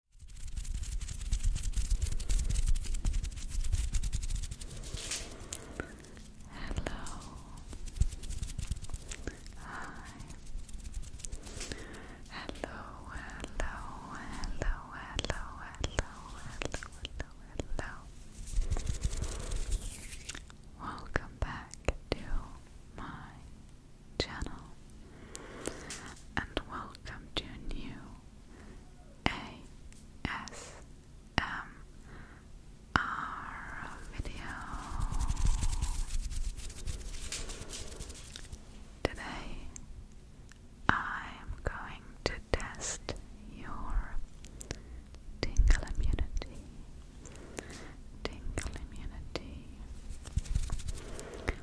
Hello. Hi. Hello, hello, hello, hello, hello, hello, hello, Welcome back to my channel and welcome to new ASMR video. Today I am going to test your tingle immunity. Tingle immunity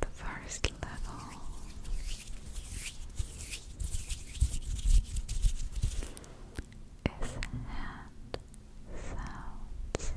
the first level. Is hand sounds.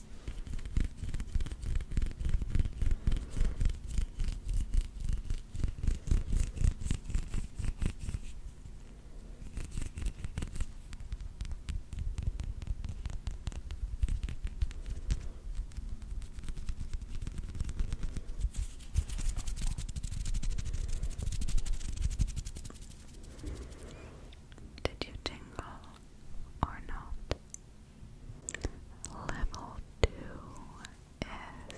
Did you tingle? or not. Level two is tapping.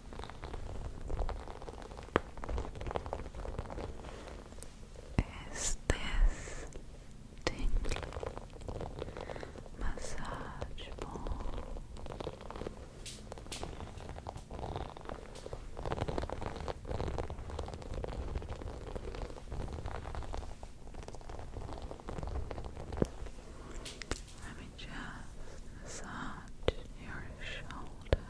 is this tingle massage ball. Let me just massage your shoulder.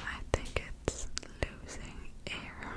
I think it's losing air.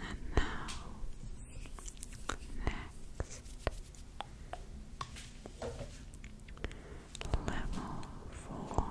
And now, next level four.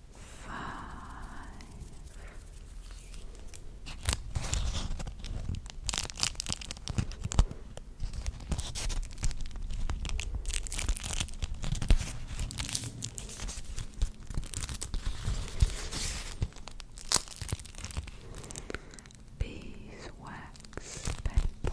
Beeswax paper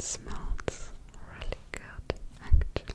smells really good actually.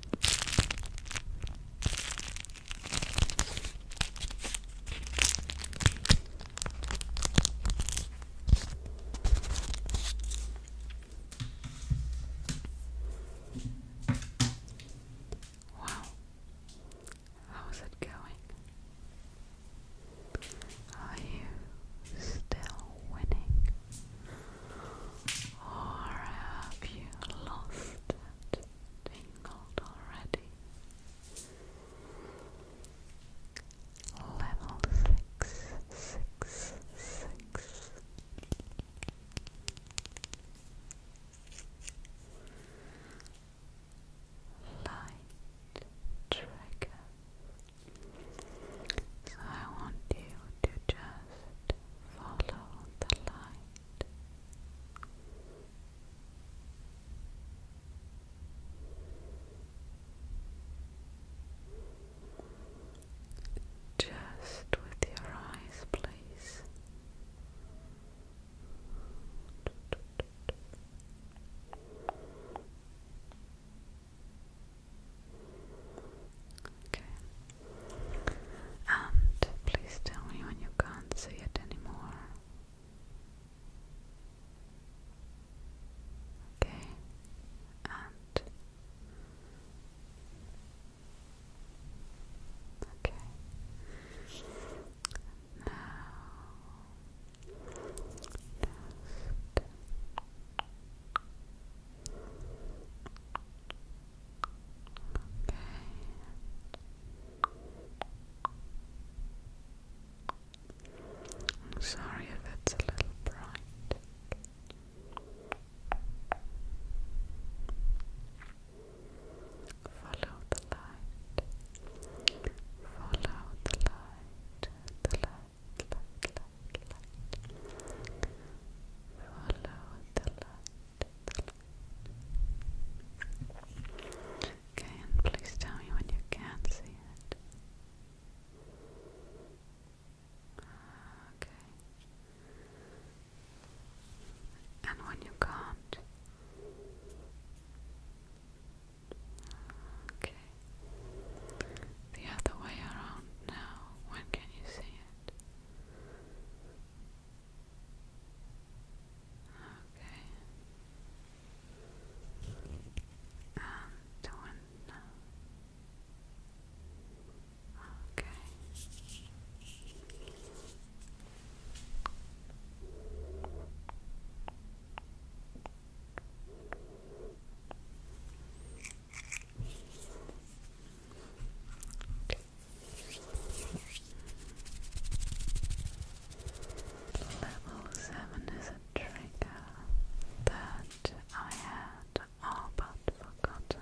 Wow, how's it going? Are you still winning? Or have you lost that tingled already? Level six, six, six. Light trigger. So I want you to just follow the light. Just with your eyes, please. Okay. And please tell me when you can't see it anymore. Okay. And Okay. Now just I'm sorry if it's a little bright. Follow the light. Follow the light. The light light, Okay, and please tell me when you can see it. Okay. And when you can't. Okay the other way around now. When can you see it? Okay. And when now? Okay. Okay. Level 7 is a trigger that I had all oh, but forgotten.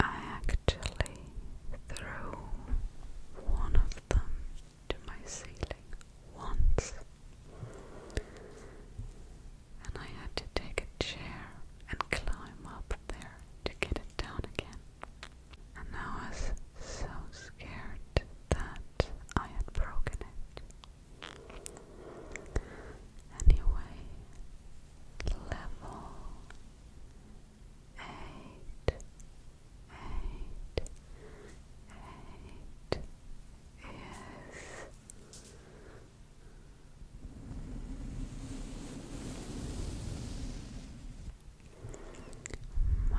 I actually threw one of them to my ceiling once, and I had to take a chair and climb up there to get it down again and I was so scared that I had broken it. Anyway, level eight, eight, eight is Mike. Brushing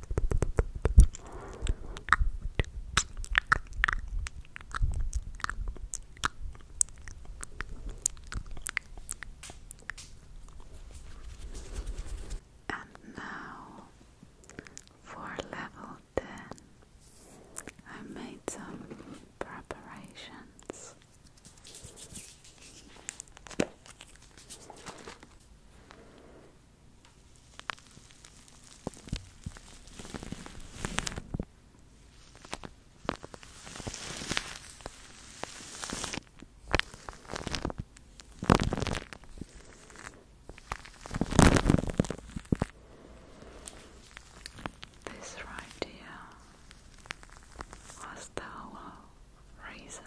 And now for level 10, I made some preparations. This right here was the whole reason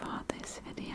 for this video.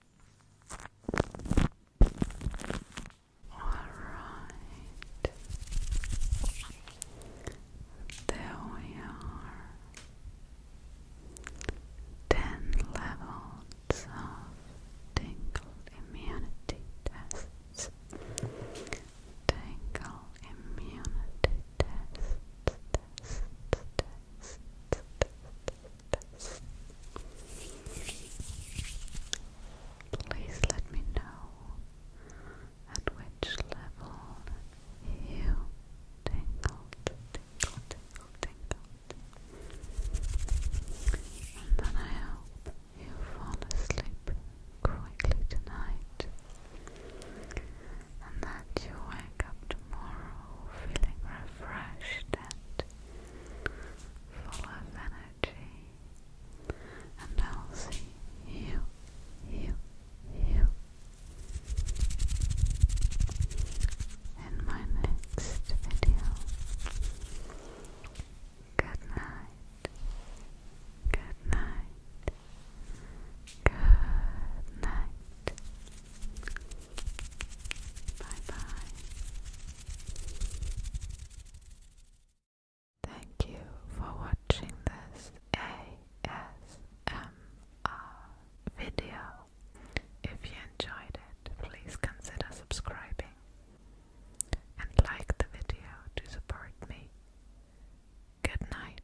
Alright. There we are. Ten levels of tingle immunity tests. Tingle immunity tests. Please let me know at which level you tingled, tingle, tingle, And then I hope you fall asleep quickly tonight and that you up tomorrow feeling refreshed and full of energy and I'll see you, you, you in my next video. Good night. Good night. Good night. Bye bye. Thank you for watching this ASMR video. If you enjoyed it, please consider subscribing and like the video to support me. Good night.